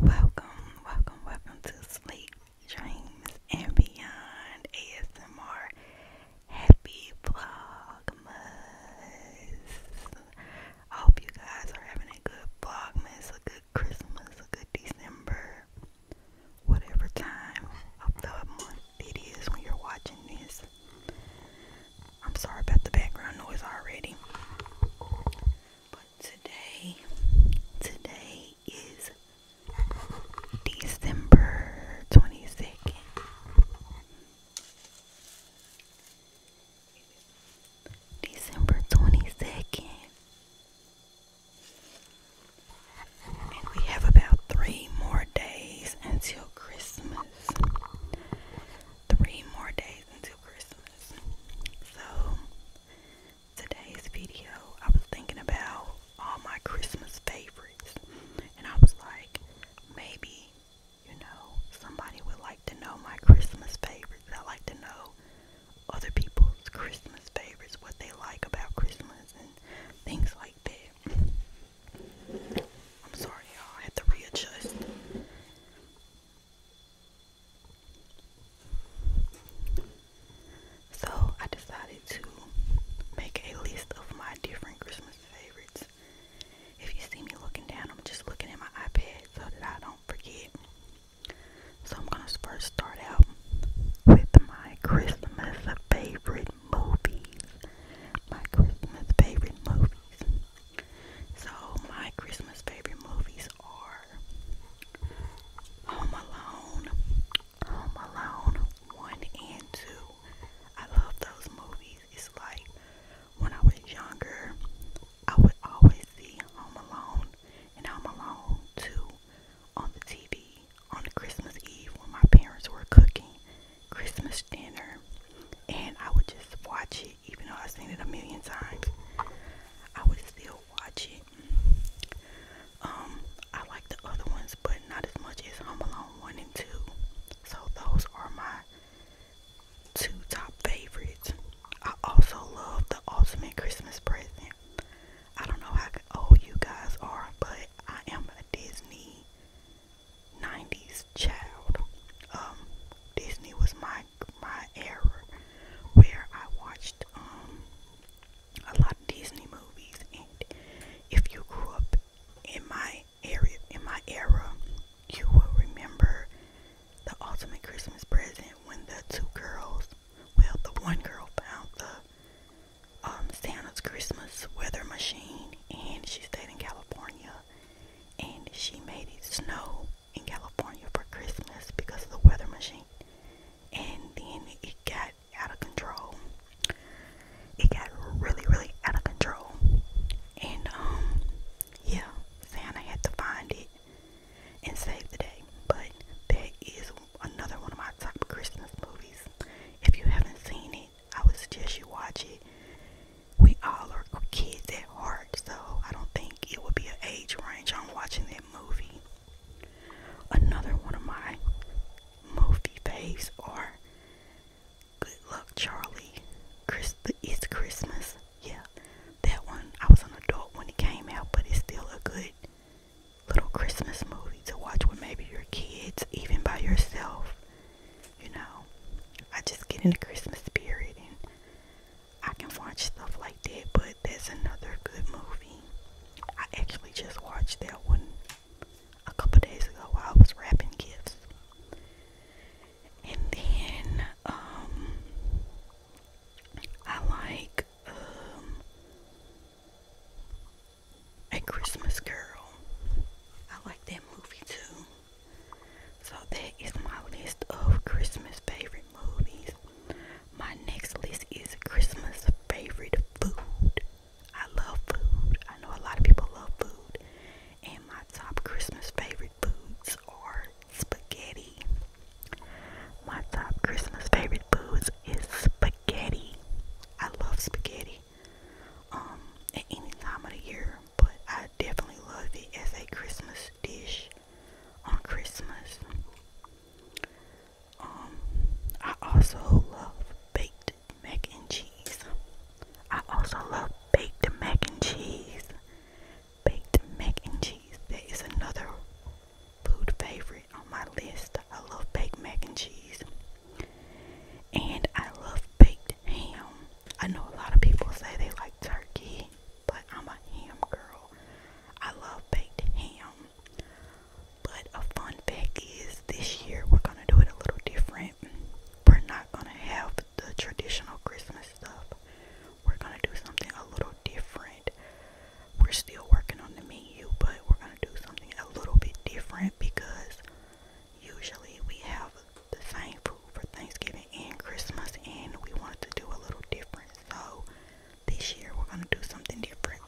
Welcome, welcome, welcome to Sleep Dreams and Beyond ASMR Happy Vlogmas. I hope you guys are having a good Vlogmas, a good Christmas, a good December. Whatever time of the month it is when you're watching this. I'm sorry about the background noise already. But today, today is December 22nd. December 22nd. And we have about three more days until Christmas. Three more days until Christmas. So, today's video, I was thinking about all my Christmas favorites. And I was like, maybe, you know, somebody would like to know my Christmas favorites. I like to know other people's Christmas favorites, what they like about Christmas and things like that. I'm sorry, y'all. I had to readjust. So I decided to make a list of my different Christmas favorites. If you see me looking down, I'm just looking at my iPad so that I don't forget. So I'm gonna first start out with my Christmas favorite movies. My Christmas favorite movies. So my Christmas favorite movies are Home Alone, Home Alone 1 and 2, I love those movies. It's like when I was younger, I would always see Home Alone and Home Alone 2 on the TV on the Christmas Eve when my parents were cooking Christmas dinner. And I would just watch it, even though I've seen it a million times. I would still watch it. Um, I like the other ones, but not as much as Home Alone 1 and 2. So those are my two top favorites. I also love The Ultimate Christmas Present. I don't know how old you guys are, but I am a Disney 90s child. Um, Disney was my my era where I watched um, a lot of Disney movies, and if you grew up in my area, in my era, you will remember the ultimate Christmas present when the two girls, well, the one girl found the um, Santa's Christmas weather machine, and she stayed in California, and she made it snow in California for Christmas because of the weather machine, and then it got out of control. It got really, really out of control. And, um, yeah, Santa had to find it and save the day. But that is another one of my top Christmas movies. If you haven't seen it, I would suggest you watch it. We all are kids at heart, so I don't think it would be an age range on watching that movie. Another one of my movie faves are Good Luck Charlie. it's Christmas. Yeah, that one. I was an adult when it came out, but it's still a good little Christmas movie to watch with maybe your kids, even by yourself. You know, I just get into Christmas spirit and I can watch stuff like that, but there's another good movie. I actually just watched that one a couple days ago while I was wrapping gifts. And then um I like um A Christmas Girl. I like that movie too. So that is my list of Christmas favorites movies. My next list is Christmas favorite food. I love food. I know a lot of people love food. And my top Christmas favorite foods are spaghetti. My top Christmas favorite foods is spaghetti. I love spaghetti. Um, at any time of the year, but I definitely love it as a Christmas dish on Christmas. Um, I also love baked mac and cheese. I also love baked mac and cheese. Baked mac and cheese. That is another food favorite on my list. I love baked mac and cheese. And I love baked ham. I know a lot of people say they like turkey but I'm a ham girl. I love baked ham. But a fun fact is this year we're going to do it a little different. We're not going to have the traditional Christmas stuff. We're going to do something a little different. We're still working on the menu, but we're going to do something a little bit different because usually we have the same food for Thanksgiving and Christmas and we wanted to do a little different. So this year we're gonna do something different.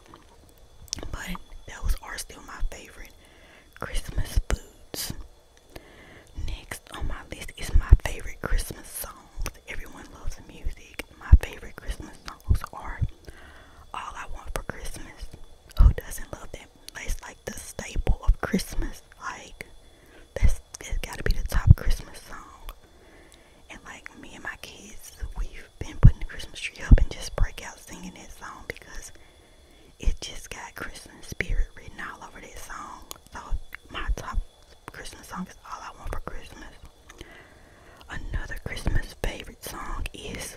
But those are still my favorite Christmas foods. Next on my list is my favorite Christmas songs. Everyone loves music. My favorite Christmas songs are All I Want for Christmas. Who doesn't love them? That's like the staple of Christmas. Like that's it's got to be the top Christmas song. And like me and my kids, we've been putting the Christmas tree up and just break out singing that song because it just got Christmas spirit written all over that song. So my top Christmas song is All I Want for Christmas. Another Christmas favorite song is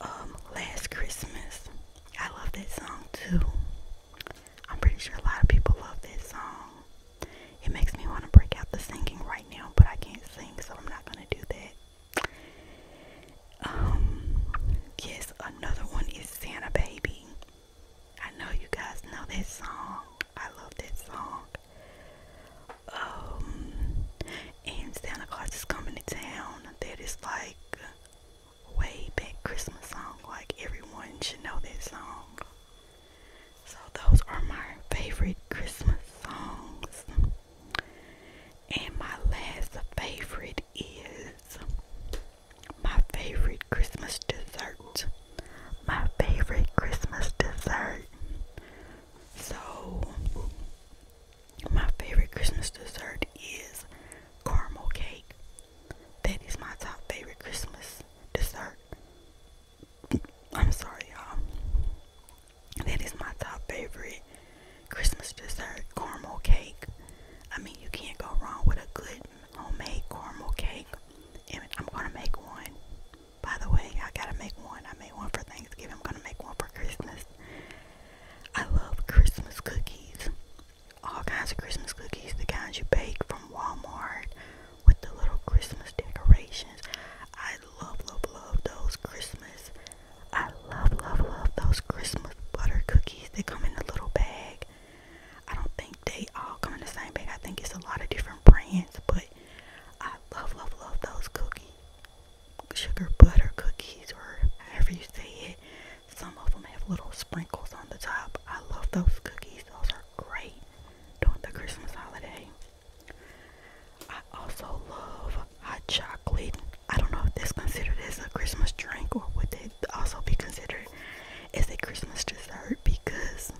um, Last Christmas. I love that song too. I'm pretty sure a lot of people love this song. It makes me want to break out the singing right now, but I can't sing, so I'm not going to do that. Um, yes, another one is Santa Baby. I know you guys know this song. I love this song. Um, and Santa Claus is coming to town. That is like way back Christmas song. Like everyone should know that song. So those are my favorite Christmas songs. And my last favorite is my favorite Christmas dessert. My favorite Christmas dessert. So my favorite Christmas dessert is caramel cake. That is my top favorite Christmas dessert. I'm sorry, y'all. That is my top favorite Christmas dessert, caramel cake. I mean, you can't go wrong with a good homemade caramel cake. And I'm gonna make one. By the way, I gotta make one. I made one for Thanksgiving. I'm gonna make one for Christmas. I love Christmas cookies all kinds of Christmas cookies, the kinds you bake from Walmart with the little Christmas decorations. I love, love, love those Christmas. I love, love, love those Christmas butter cookies. They come in a little bag. I don't think they all come in the same bag. I think it's a lot of different brands, but I love, love, love those cookies. Sugar butter cookies, or however you say it. Some of them have little sprinkles on the top. I love those cookies. Those are great during the Christmas holiday. I also love hot chocolate. I don't know if this considered as a Christmas drink or would it also be considered as a Christmas dessert because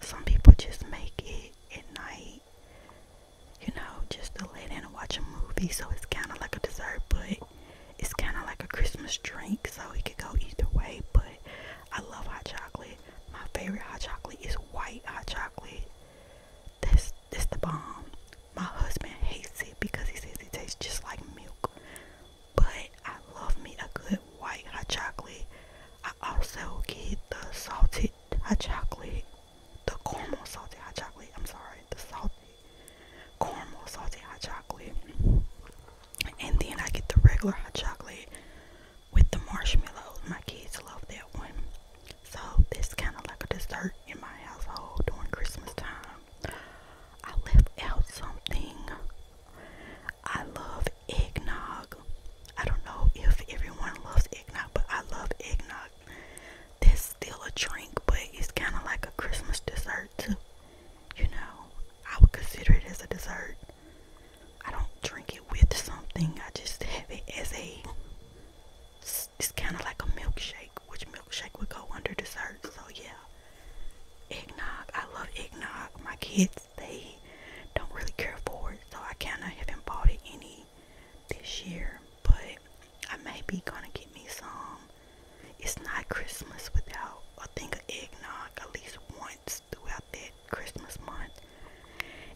some people just make it at night, you know, just to lay down and watch a movie. So it's kind of like a dessert, but it's kind of like a Christmas drink, so it could go either way. But I love hot chocolate. My favorite hot chocolate is white hot chocolate. This that's the bomb. My husband hates it because he says it tastes just like milk. But I love me a good white hot chocolate. I also get the salted hot chocolate, the caramel salted hot chocolate. I'm sorry, the salted caramel salted hot chocolate. And then I get the regular hot chocolate with the marshmallows. My kids love that one. So that's kind of like a dessert in my household during Christmas time. I left out something. I love eggnog. I don't know if everyone loves eggnog, but I love eggnog. This still a drink, but it's kind of like a Christmas dessert too. You know, I would consider it as a dessert. I don't drink it with something. I just have it as a. It's kind of like a milkshake, which milkshake would go under dessert. So yeah, eggnog. I love eggnog. My kids they don't really care for it, so I kind of haven't bought it any this year but I may be gonna get me some. It's not Christmas without a thing of eggnog at least once throughout that Christmas month.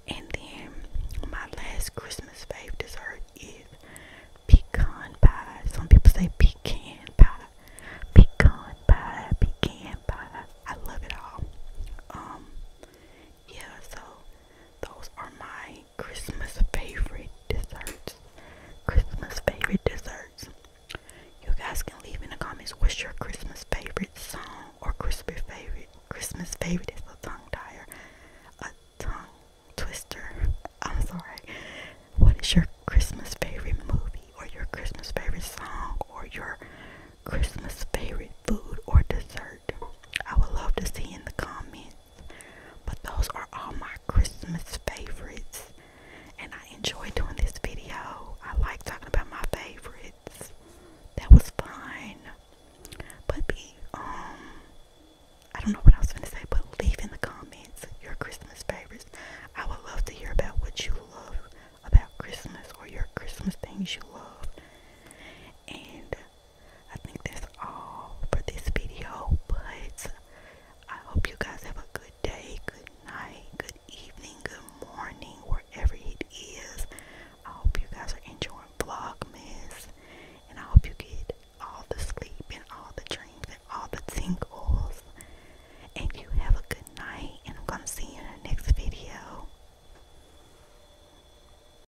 And then my last Christmas favorite dessert is pecan pie. Some people say pecan pie, pecan pie, pecan pie. I love it all. Um, yeah. So those are my Christmas favorite desserts. Christmas favorite desserts. You guys can leave in the comments what's your Christmas favorite song or Christmas favorite. Christmas favorite is a tongue tire, a tongue twister. I'm sorry. What is your Christmas favorite movie or your Christmas favorite song or your Christmas favorite food or dessert? I would love to see in the comments. But those are all my Christmas favorites. And I enjoy doing this video. I like talking about my favorites. That was fine, But be um I don't know what I was gonna say, but leave in the comments your Christmas favorites. I would love to hear about what you love about Christmas or your Christmas things you love. And I think that's all for this video, but I hope you guys have a good day, good night, good evening, good morning, wherever it is. I hope you guys are enjoying Vlogmas, and I hope you get all the sleep and all the dreams and all the tingles. And you have a good night, and I'm going to see you in the next video.